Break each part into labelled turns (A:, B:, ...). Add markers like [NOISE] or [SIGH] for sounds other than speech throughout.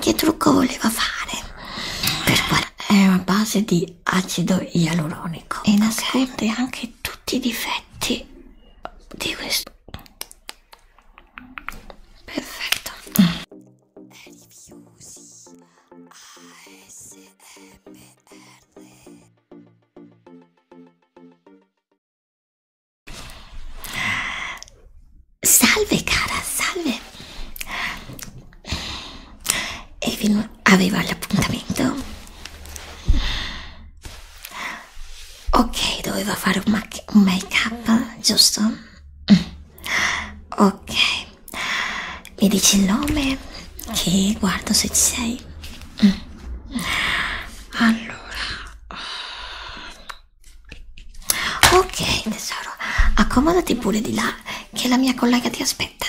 A: Che trucco voleva fare? Per è una base di acido ialuronico e nasconde okay. anche tutti i difetti di questo. Perfetto. Rifiusi ASMR. Salve cara, salve. E aveva l'appuntamento? Ok, doveva fare un, un make-up, giusto? Ok, mi dici il nome che guardo se ci sei. Allora, Ok, tesoro, accomodati pure di là che la mia collega ti aspetta.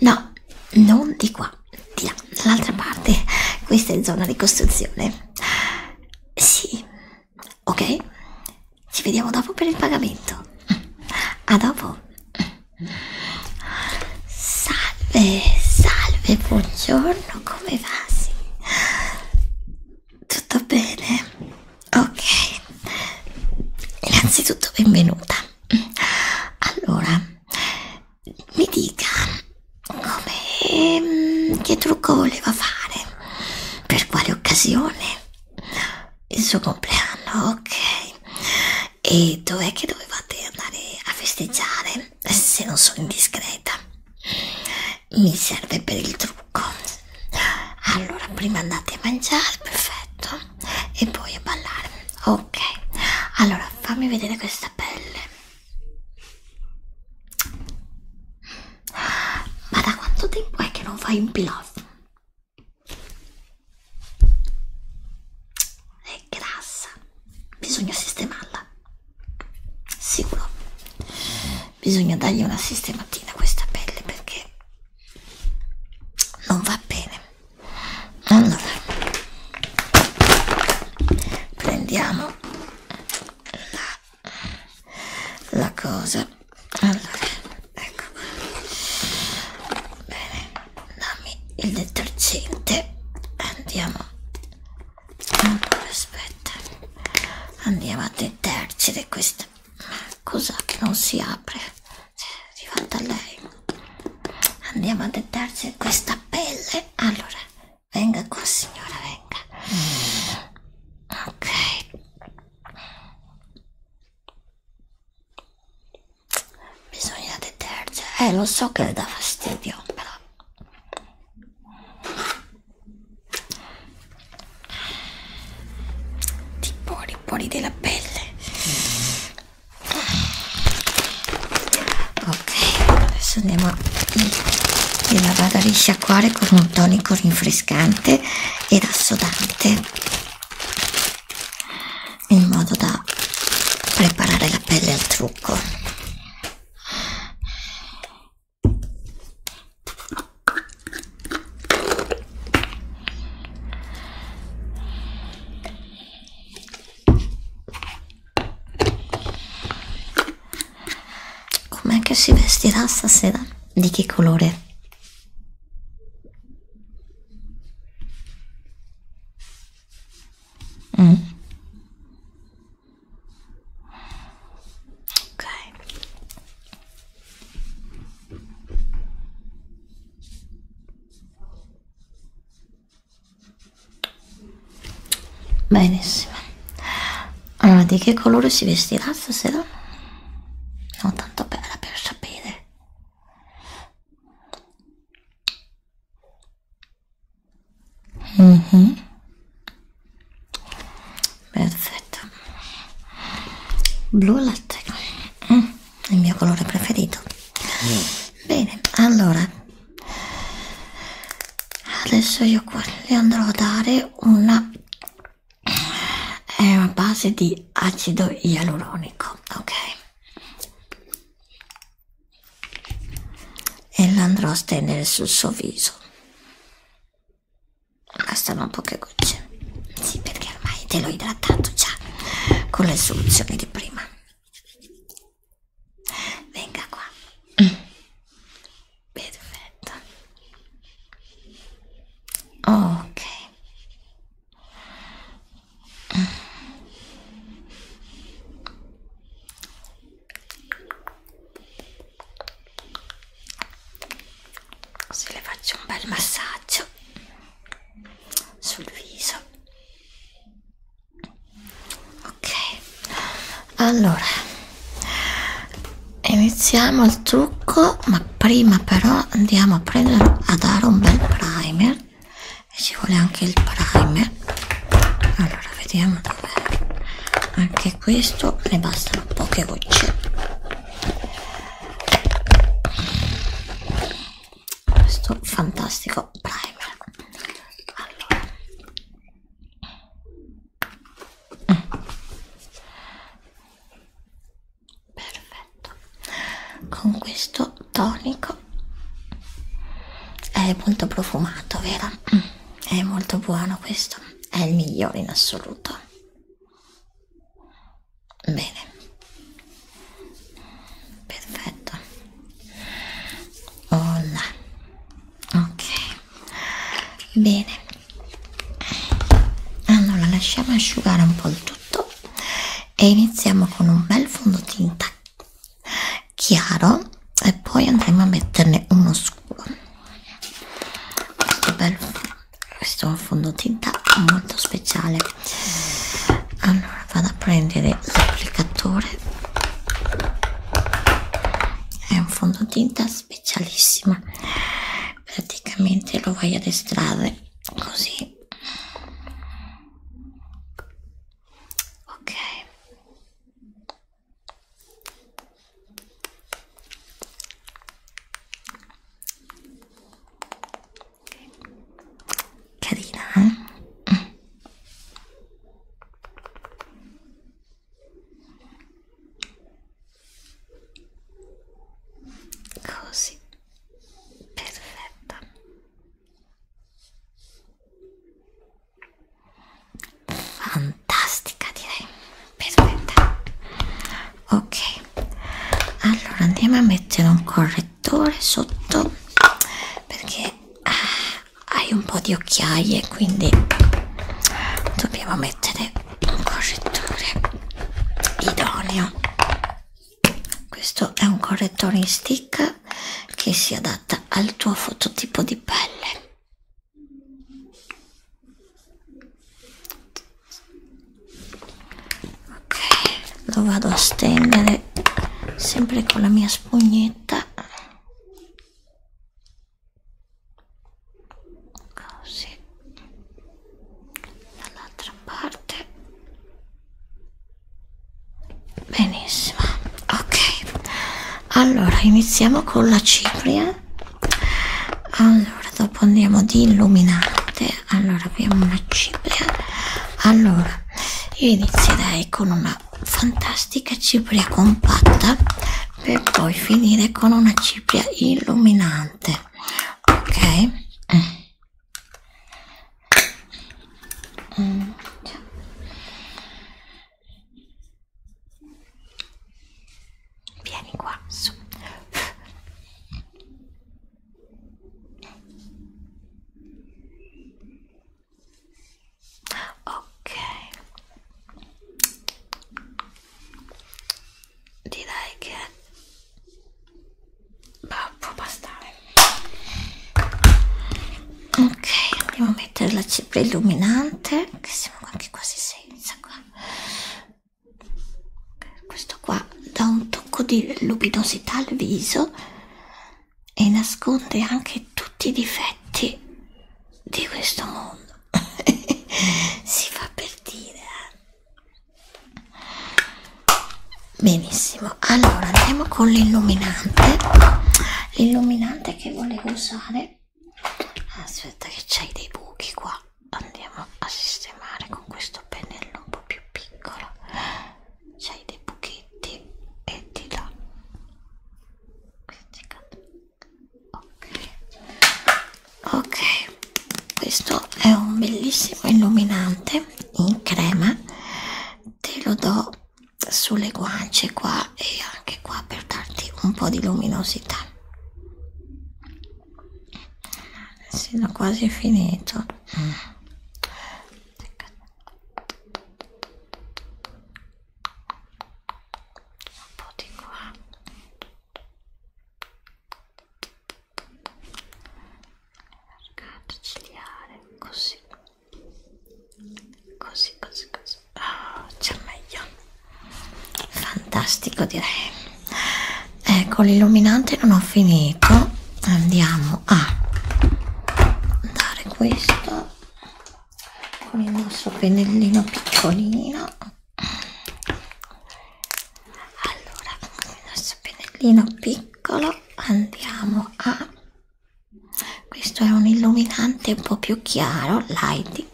A: No, non di qua, di là, dall'altra parte. Questa è zona di costruzione. Sì, ok? Ci vediamo dopo per il pagamento. A dopo. Salve, salve, buongiorno, come va? Sì. Tutto bene? Ok, innanzitutto benvenuta. Allora, mi dica come mm, che trucco voleva fare, per quale occasione, il suo compleanno, ok. E dov'è che dovevate andare a festeggiare, se non sono indiscreta? mi serve per il trucco allora prima andate a mangiare perfetto e poi a ballare ok allora fammi vedere questa pelle ma da quanto tempo è che non fai un peel off? è grassa bisogna sistemarla sicuro bisogna dargli una sistematina a questa pelle perché non va bene allora prendiamo la, la cosa allora ecco bene dammi il detergente andiamo allora aspetta andiamo a detergere questa Cosa non si apre? Cioè, arrivata lei. Andiamo a dettarci questa pelle. Allora, venga qua signora, venga. Ok. Bisogna detergere. Eh, lo so che dà fastidio, però. Ti pori, pori della pelle. Ok, adesso andiamo a la vado a risciacquare con un tonico rinfrescante ed assodante in modo da preparare la pelle al trucco Com'è che si vestirà stasera? Di che colore? Mm. Ok. Benissimo. Allora, di che colore si vestirà stasera? No, tanto bella per sapere. Mm -hmm perfetto blu latte mm, il mio colore preferito mm. bene allora adesso io qua le andrò a dare una è una base di acido ialuronico ok e la andrò a stendere sul suo viso bastano poche gocce sì perché ormai te l'ho idratato già con le soluzioni di prima venga qua perfetto ok se le faccio un bel massaggio sul viso ok allora iniziamo il trucco ma prima però andiamo a prendere a dare un bel primer e ci vuole anche il primer allora vediamo dov'è anche questo ne bastano poche gocce questo fantastico primer allora. perfetto con questo tonico è molto profumato vero è molto buono questo è il migliore in assoluto Bene. Perfetto. Olla. Ok. Bene. Allora lasciamo asciugare un po' il tutto e iniziamo con un bel fondotinta chiaro e poi andremo a metterne uno scuro. Questo bel questo fondotinta molto speciale allora vado a prendere l'applicatore è un fondotinta specialissimo praticamente lo vai ad estrarre così ok Carina, eh? Mm. Così, perfetta. Fantastico fantastica direi perfetta ok allora andiamo a mettere un correttore sotto perché ah, hai un po' di occhiaie quindi dobbiamo mettere un correttore idoneo questo è un correttore in stick che si adatta al tuo fototipo di pelle ok lo vado a stendere sempre con la mia spugnetta così dall'altra parte benissimo ok allora iniziamo con la cipria allora dopo andiamo di illuminante allora abbiamo una cipria allora io inizierei con una fantastica cipria compatta per poi finire con una cipria illuminante ok mm. Vieni qua su. Ok, direi che bah, può bastare. Ok, andiamo a mettere la cipria illuminante, che siamo anche quasi senza qua questo qua dà un tocco di luminosità al viso e nasconde anche tutti i difetti di questo mondo [LAUGHS] si fa per dire eh. benissimo allora andiamo con l'illuminante l'illuminante che volevo usare aspetta che c'hai dei buchi qua andiamo a sistemare con questo pennello un po' più piccolo c'hai dei buchetti e ti do ok ok questo è un bellissimo illuminante in crema te lo do sulle guance qua e anche qua per darti un po' di luminosità sì, l'ho quasi finito mm. un po' di qua l'arcata ciliare così così così così oh, c'è meglio fantastico direi ecco l'illuminante non ho finito andiamo a dare questo con il nostro pennellino piccolino allora con il nostro pennellino piccolo andiamo a questo è un illuminante un po' più chiaro lighting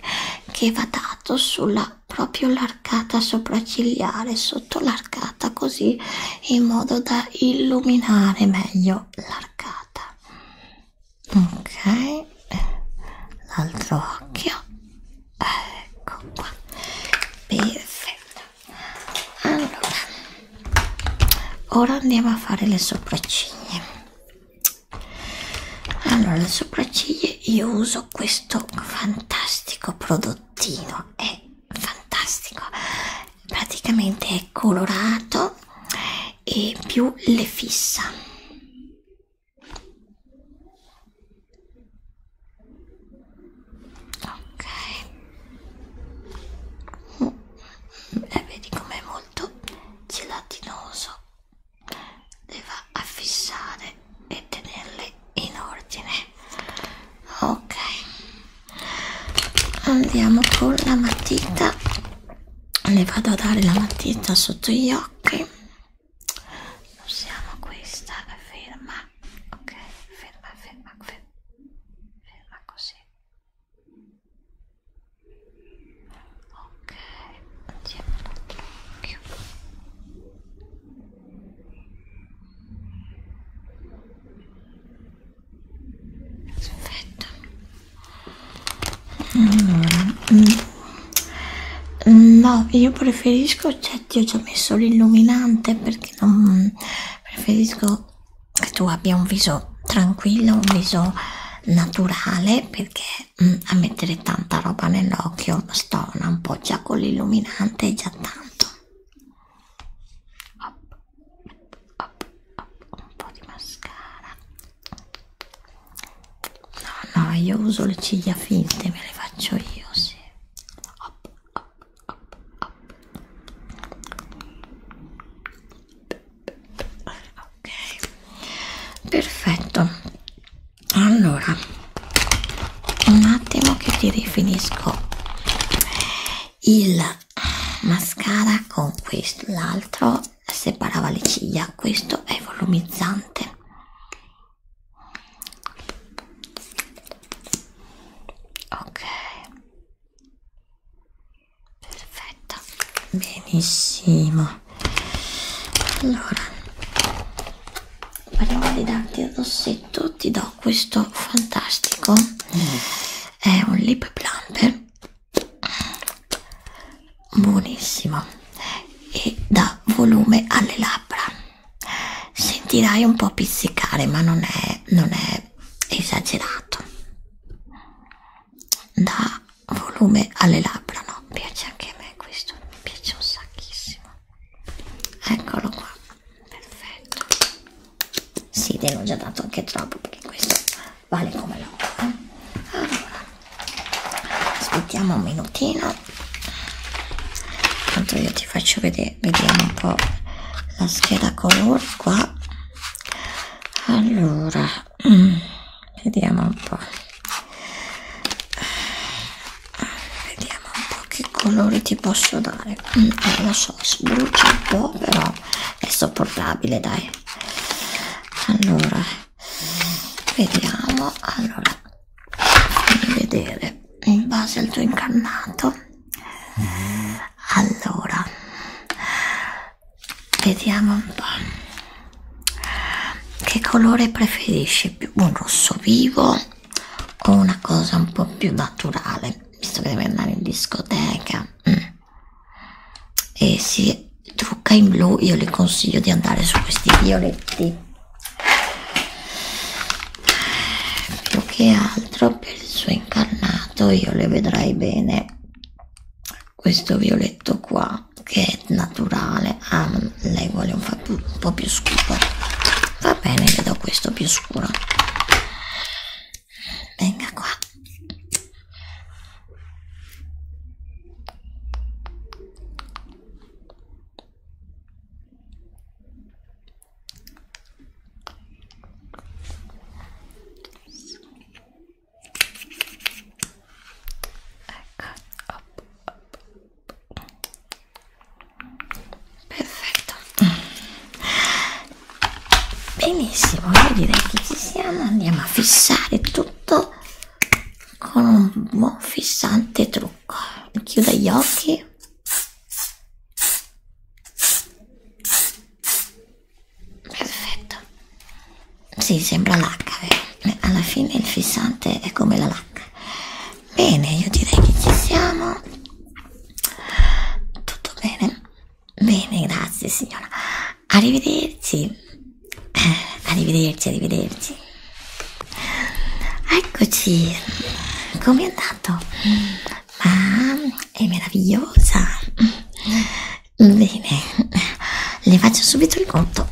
A: che va dato sulla arcata, proprio l'arcata sopraccigliare, sotto l'arcata così in modo da illuminare meglio l'arcata. Ok, l'altro occhio, ecco qua, perfetto. Allora, ora andiamo a fare le sopracciglia. Allora, le sopracciglia io uso uso questo fantastico prodottino è fantastico praticamente è colorato e più le fissa ok mm. e eh, vedi com'è molto gelatinoso le va a fissare e tenerle in ordine ok andiamo con la matita le vado a dare la matita sotto gli occhi usiamo questa ferma ok ferma ferma ferma, ferma così ok andiamo all'occhio Perfetto. Allora, mm, mm, no, io preferisco, oggetti, cioè, ho già messo l'illuminante perché non mm, preferisco che tu abbia un viso tranquillo, un viso naturale perché mm, a mettere tanta roba nell'occhio stona un po' già con l'illuminante è già tanto up, up, up, un po' di mascara no no io uso le ciglia finte me le faccio io sì up, up, up, up. ok perfetto allora un attimo che ti rifinisco il mascara con questo l'altro separava le ciglia questo è volumizzante ok perfetto benissimo allora prima di darti il rossetto ti do questo fantastico mm. è un lip plumper buonissimo e dà volume alle labbra sentirai un po' pizzicare ma non è, non è esagerato dà volume alle labbra no piace anche a me questo mi piace un sacchissimo eccolo qua perfetto sì te l'ho già dato anche troppo perché questo vale come l'ho eh? allora aspettiamo un minutino tanto io ti faccio vedere vediamo un po' la scheda color qua allora mm, vediamo un po' vediamo un po' che colori ti posso dare mm, non eh, lo so sbrucia un po' però è sopportabile dai allora vediamo allora fammi vedere in base al tuo incarnato allora vediamo un po' che colore preferisci più un rosso vivo o una cosa un po' più naturale, visto che deve andare in discoteca mm. e si trucca in blu, io le consiglio di andare su questi violetti più che altro per il suo incarnato io le vedrai bene questo violetto qua che è naturale bene ah non, lei vuole un, un po' più scuro va bene le do questo più scuro venga qua Ecco, up, up, perfetto benissimo io direi che ci siamo andiamo a fissare tutto con un buon fissante trucco chiuda gli occhi perfetto si sì, sembra lacca vero? alla fine il fissante è come la lacca Bene, io direi che ci siamo. Tutto bene? Bene, grazie signora. Arrivederci. Eh, arrivederci, arrivederci. Eccoci. Come è andato? Ma è meravigliosa. Bene, le faccio subito il conto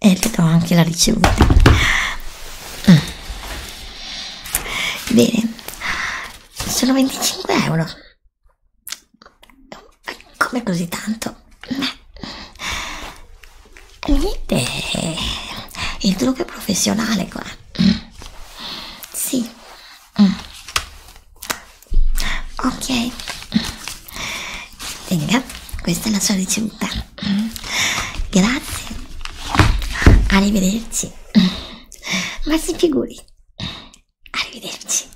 A: e le do anche la ricevuta mm. bene sono 25 euro come così tanto Beh, niente il trucco è professionale qua mm. sì mm ok venga questa è la sua ricevuta grazie arrivederci ma si figuri arrivederci